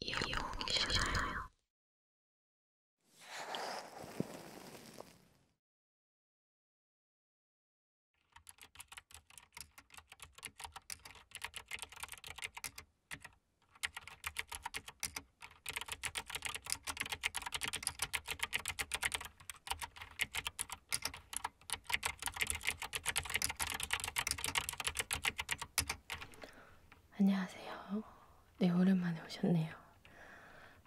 이용이시나요? 안녕하세요. 네, 오랜만에 오셨네요.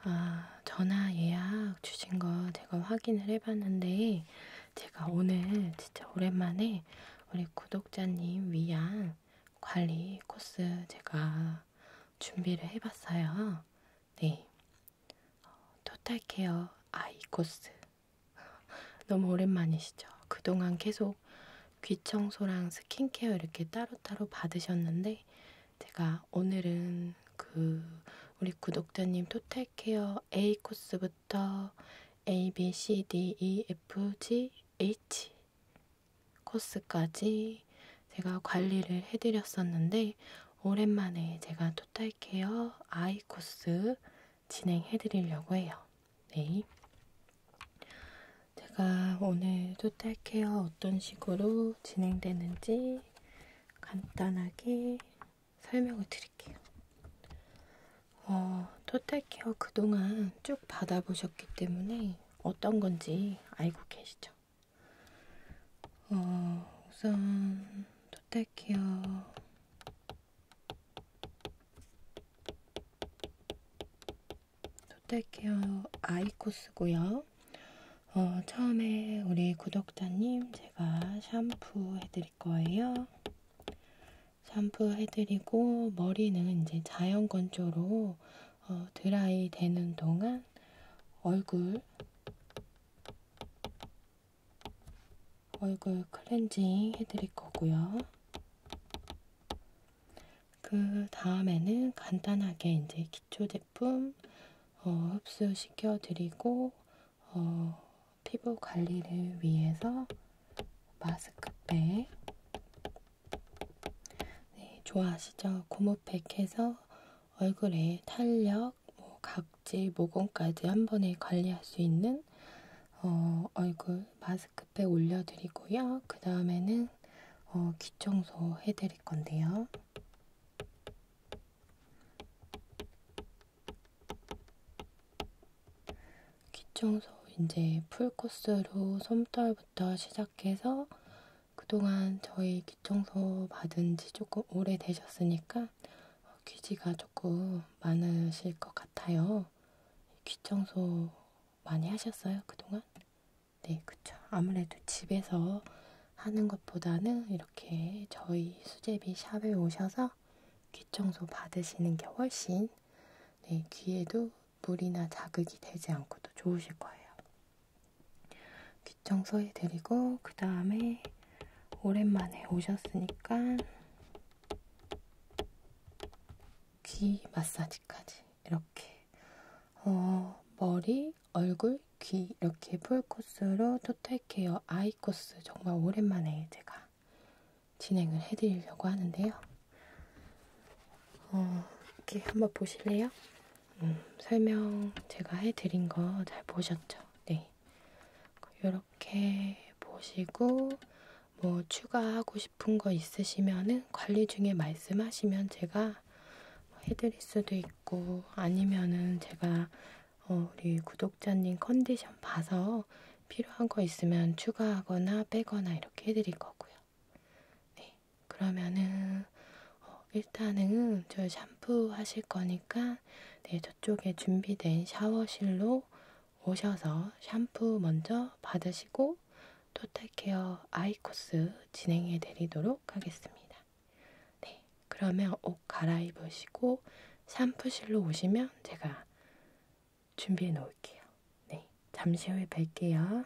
아, 전화 예약 주신 거 제가 확인을 해봤는데, 제가 오늘 진짜 오랜만에 우리 구독자님 위한 관리 코스 제가 준비를 해봤어요. 네. 토탈 케어 아이 코스. 너무 오랜만이시죠? 그동안 계속 평소 귀 청소랑 스킨케어 이렇게 따로따로 받으셨는데 제가 오늘은 그 우리 구독자님 토탈케어 A 코스부터 A, B, C, D, E, F, G, H 코스까지 제가 관리를 해드렸었는데 오랜만에 제가 토탈케어 I 코스 진행해드리려고 해요. 네. 제가 오늘 토탈 케어 어떤 식으로 진행되는지 간단하게 설명을 드릴게요. 어, 토탈 케어 그동안 쭉 받아보셨기 때문에 어떤 건지 알고 계시죠? 어, 우선 토탈 케어 롯데케어 아이코스고요. 어, 처음에 우리 구독자님 제가 샴푸 해드릴 거예요. 샴푸 해드리고 머리는 이제 자연 건조로 어, 드라이 되는 동안 얼굴 얼굴 클렌징 해드릴 거고요. 그 다음에는 간단하게 이제 기초 제품 어, 흡수시켜 드리고 어, 피부 관리를 위해서 마스크팩 네, 좋아하시죠? 고무팩해서 얼굴에 탄력, 뭐 각질, 모공까지 한 번에 관리할 수 있는 어, 얼굴 마스크 급해 올려드리고요. 그 다음에는 어, 귀 청소 해드릴 건데요. 귀 청소 이제 풀 코스로 솜털부터 시작해서 그동안 저희 귀 청소 받은 지 조금 오래 되셨으니까 어, 귀지가 조금 많으실 것 같아요. 귀 청소 많이 하셨어요, 그동안? 네, 그쵸. 아무래도 집에서 하는 것보다는 이렇게 저희 수제비 샵에 오셔서 귀 청소 받으시는 게 훨씬 네, 귀에도 물이나 자극이 되지 않고도 좋으실 거예요. 귀 청소해드리고, 그 다음에 오랜만에 오셨으니까 귀 마사지까지 이렇게 어, 머리, 얼굴, 귀 이렇게 풀 코스로 토탈 케어 아이 코스 정말 오랜만에 제가 진행을 해드리려고 하는데요. 어, 이렇게 한번 보실래요? 음, 설명 제가 해드린 거 잘 보셨죠? 네. 이렇게 보시고 뭐 추가하고 싶은 거 있으시면은 관리 중에 말씀하시면 제가 해드릴 수도 있고 아니면은 제가 어, 우리 구독자님 컨디션 봐서 필요한 거 있으면 추가하거나 빼거나 이렇게 해드릴 거고요. 네, 그러면은 어, 일단은 저 샴푸 하실 거니까 네 저쪽에 준비된 샤워실로 오셔서 샴푸 먼저 받으시고 토탈케어 아이코스 진행해 드리도록 하겠습니다. 네, 그러면 옷 갈아입으시고 샴푸실로 오시면 제가 준비해 놓을게요. 네, 잠시 후에 뵐게요.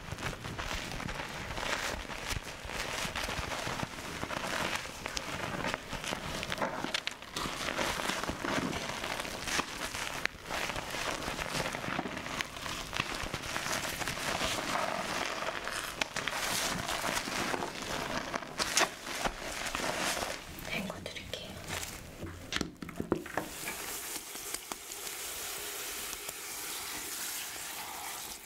헹궈 드릴게요.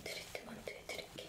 트리트먼트 해드릴게요.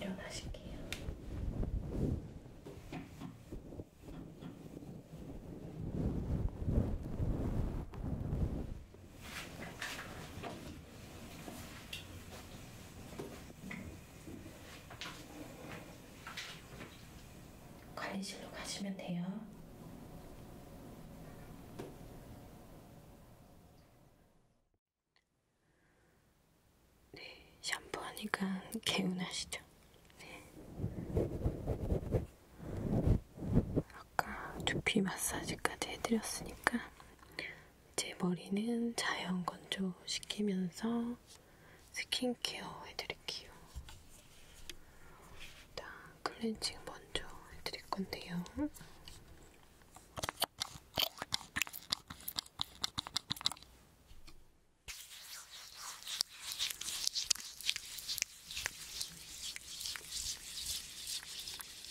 일어나실게요. 관리실로 가시면 돼요. 네, 샴푸하니까 개운하시죠? 네. 아까 두피 마사지까지 해드렸으니까 제 머리는 자연 건조 시키면서 스킨케어 해드릴게요. 일단 클렌징 먼저 해드릴 건데요.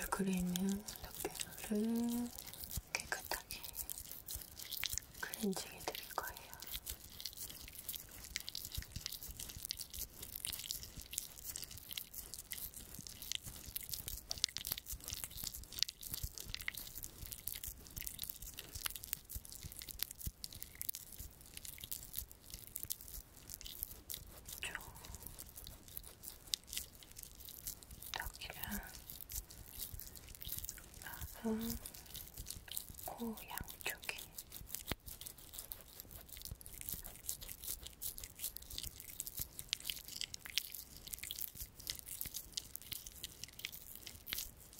얼굴에 있는 덮개물을 깨끗하게 클렌징 해드릴 거예요. 좀 여기를 나서 코 양쪽에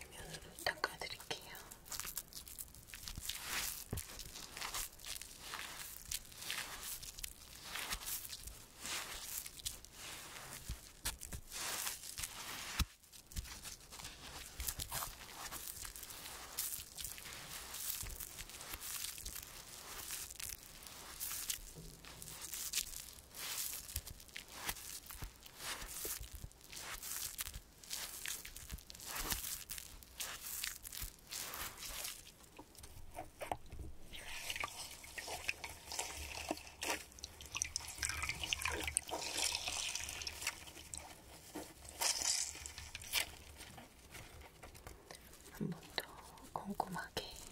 해면으로 닦아드릴게요. 한번더 꼼꼼하게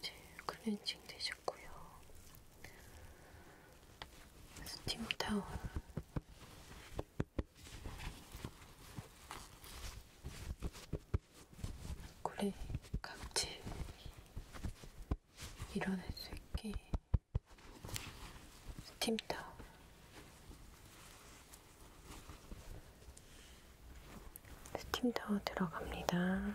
이제 클렌징 되셨고요. 스팀 타올 고리 각질 밀어낼 수 있게 스팀타올 스팀타올 들어갑니다.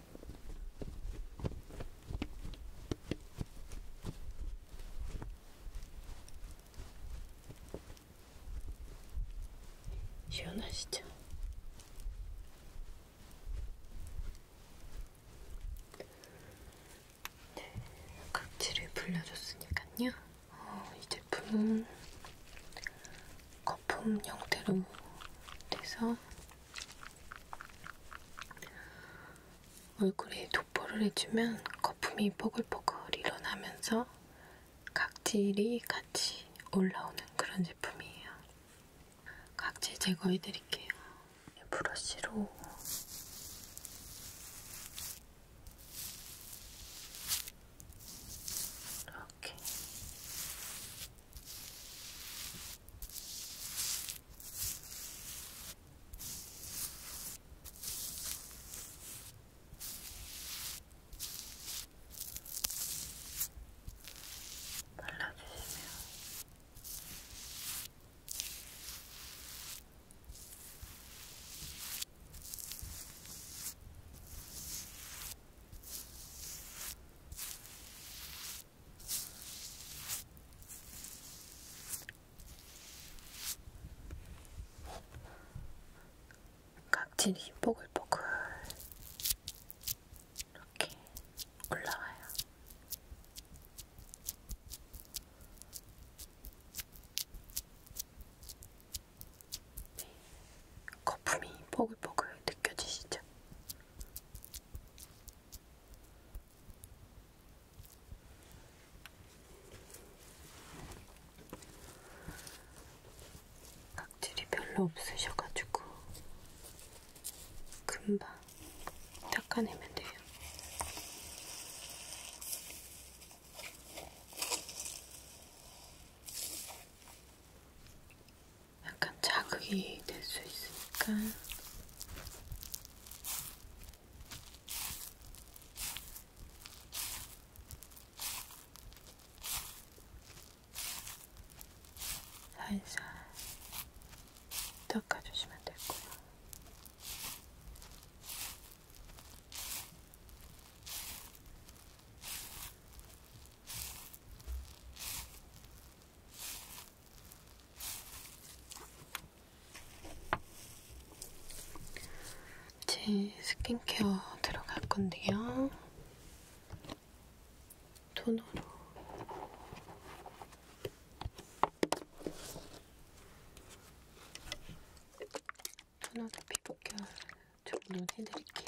시원하시죠? 네, 각질을 불려줬으니까요. 어, 이 제품은 거품 형태로 돼서 얼굴에 도포를 해주면 거품이 보글보글 일어나면서 각질이 같이 올라오는 그런 제품이에요. 각질 제거해드릴게요. 브러쉬로 이렇게 발라주시면 각질이 보글보글 이렇게 올라와요. 네, 거품이 보글보글 느껴지시죠? 각질이 별로 없으셔가지고 금방 닦아내면 돼요. 약간 자극이 될 수 있으니까 살살 닦아주시면 될 거예요. 이제 스킨케어 들어갈 건데요. 토너로 토너로 피부결 조금 노해드릴게요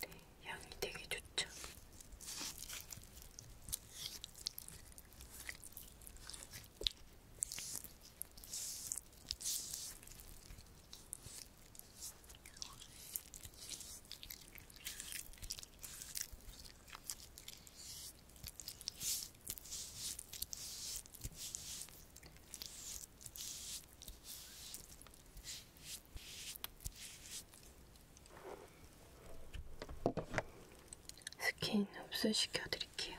네, 향이 되게 좋죠. 스킨 흡수시켜 드릴게요.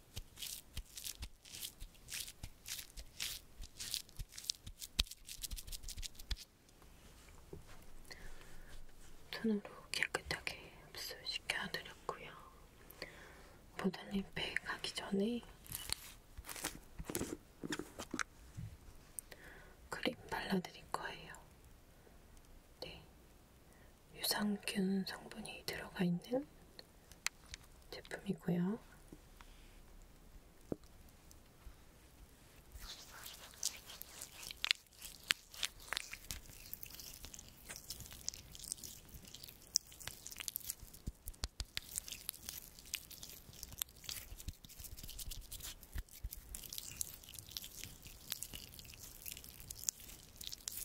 손으로 깨끗하게 흡수시켜 드렸고요. 보다잎에 가기 전에 크림 발라드릴 거예요. 네, 유산균 성분이 들어가 있는 제품이고요.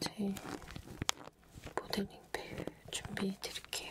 제 모델링 팩 준비해 드릴게요.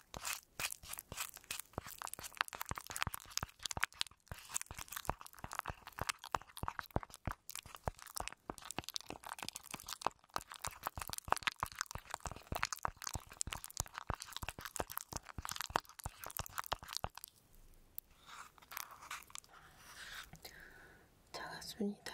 작았습니다.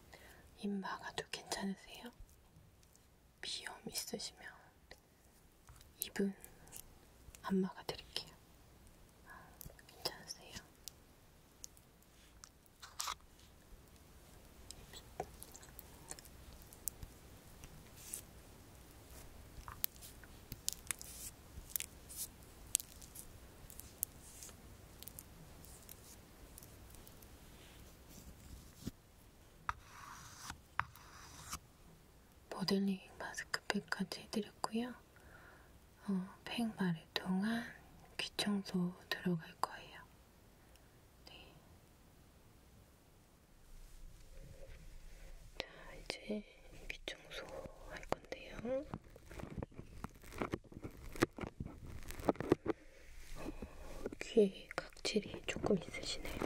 입 막아도 괜찮으세요? 비염 있으시면 입은 안 막아드릴게요. 괜찮으세요? 모델링 마스크팩까지 해드렸고요. 어, 팩 마를 동안 귀 청소 들어갈 거예요. 네. 자, 이제 귀 청소 할 건데요. 귀에 각질이 조금 있으시네요.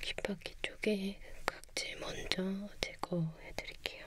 귓바퀴 쪽에 각질 먼저 제거해드릴게요.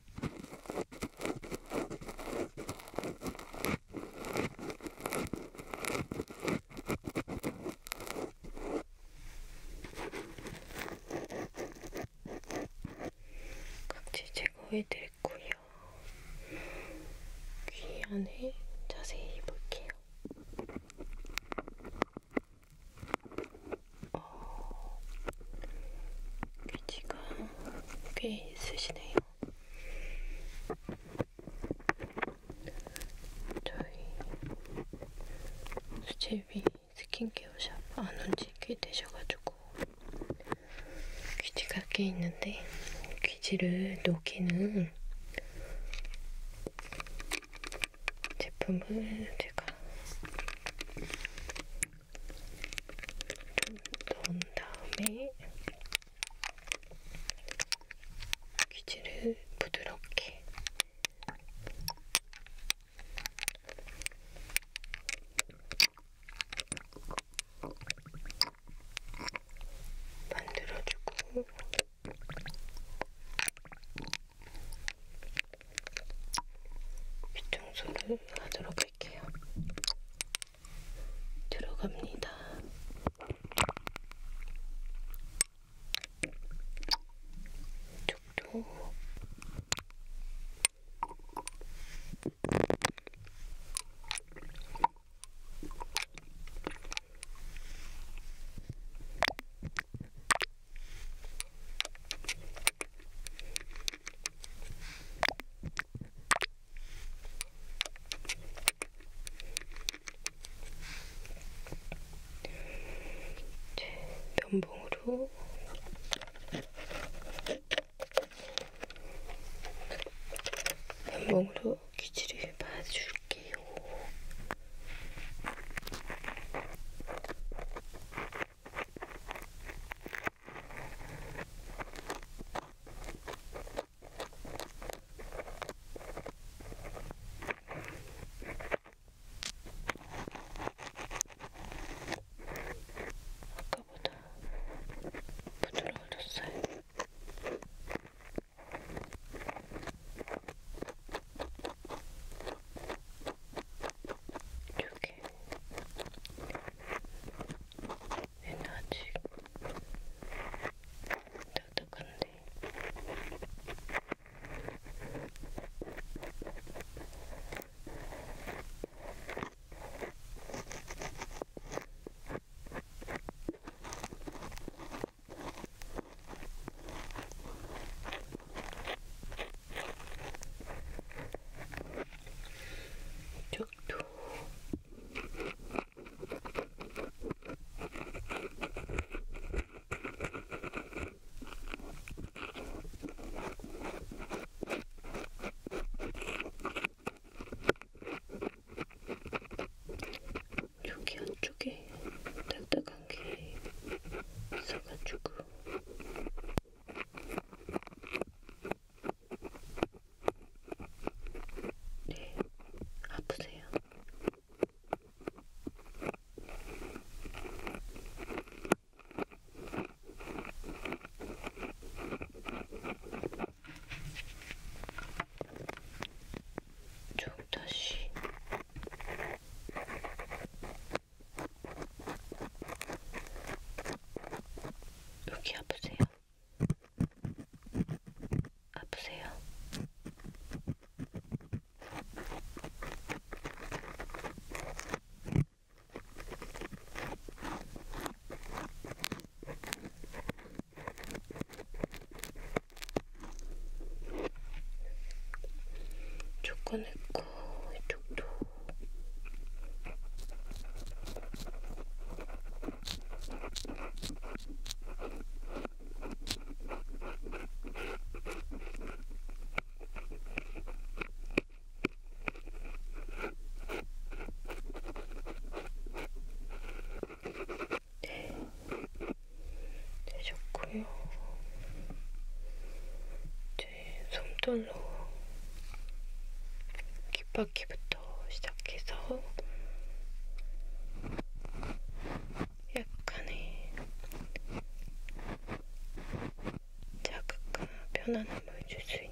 각질 제거해드렸고요. 귀 안에 자세히 볼게요. 어, 귀지가 꽤 있으시네요. 저희 수제비 스킨케어샵 안온지 꽤 되셔가지고 귀지가 꽤 있는데 귀지를 녹이는 제품을 제가 넣은 다음에 귀지를 부드럽게 만들어주고 귀청소를 하도록 할게요. 들어갑니다. 이쪽도 면봉으로 면봉으로 귀지를 봐줄게요. 아까보다 부드러워졌어요. 이렇게 에너지 따뜻한데 이쪽도 여기 안쪽에 딱딱한 게 있어가지고 네, 아프세요? 좀 다시 여기 아프세요? 아프세요? 조건 했고 이쪽도 네, 되셨고요. 이제 손톱로 귓바퀴부터 시작해서 약간의 자극과 편안함을 줄 수 있는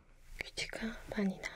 귀지가 많이 나왔어요.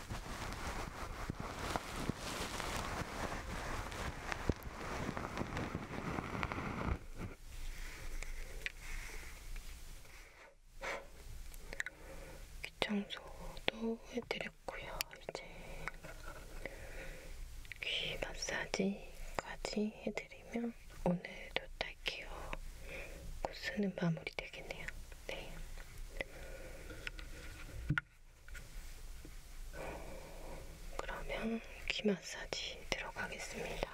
귀청소도 해드렸고요. 이제 귀 마사지까지 해드리면 오늘도 딸기요 코스는 마무리 되겠네요. 네. 그러면 귀 마사지 들어가겠습니다.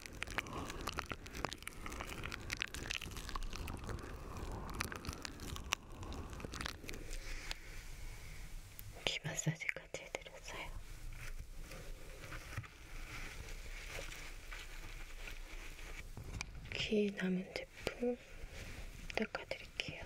귀 마사지까지 해드렸어요. 귀 남은 제품 닦아드릴게요.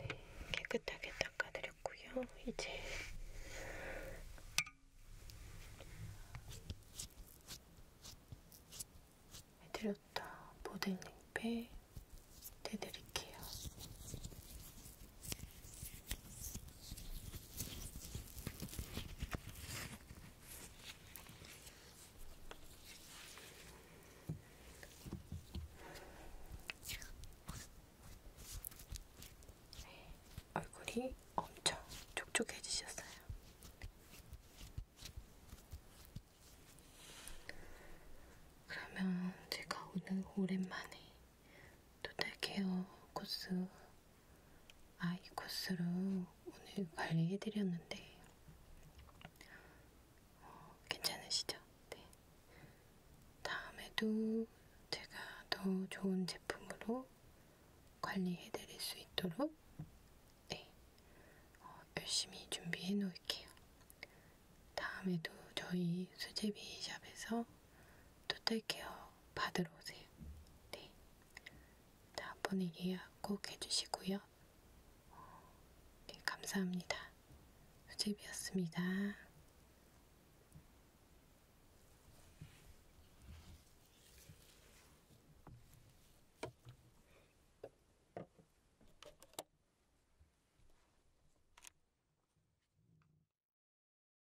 네, 깨끗하게 닦아드렸고요. 이제 해드렸다 모델링 팩 대드릴게요. 네, 얼굴이 엄청 촉촉해지셨어요. 그러면 제가 오늘 오랜만에 토탈 케어 코스 아이 코스로 오늘 관리해드렸는데 어, 괜찮으시죠? 네. 다음에도 제가 더 좋은 제품으로 관리해드릴 수 있도록 네. 어, 열심히 준비해 놓을게요. 다음에도 저희 수제비 샵에서 토탈케어 받으러 오세요. 네. 다음번에 예약 꼭 해주시고요. 네, 감사합니다. 수제비였습니다.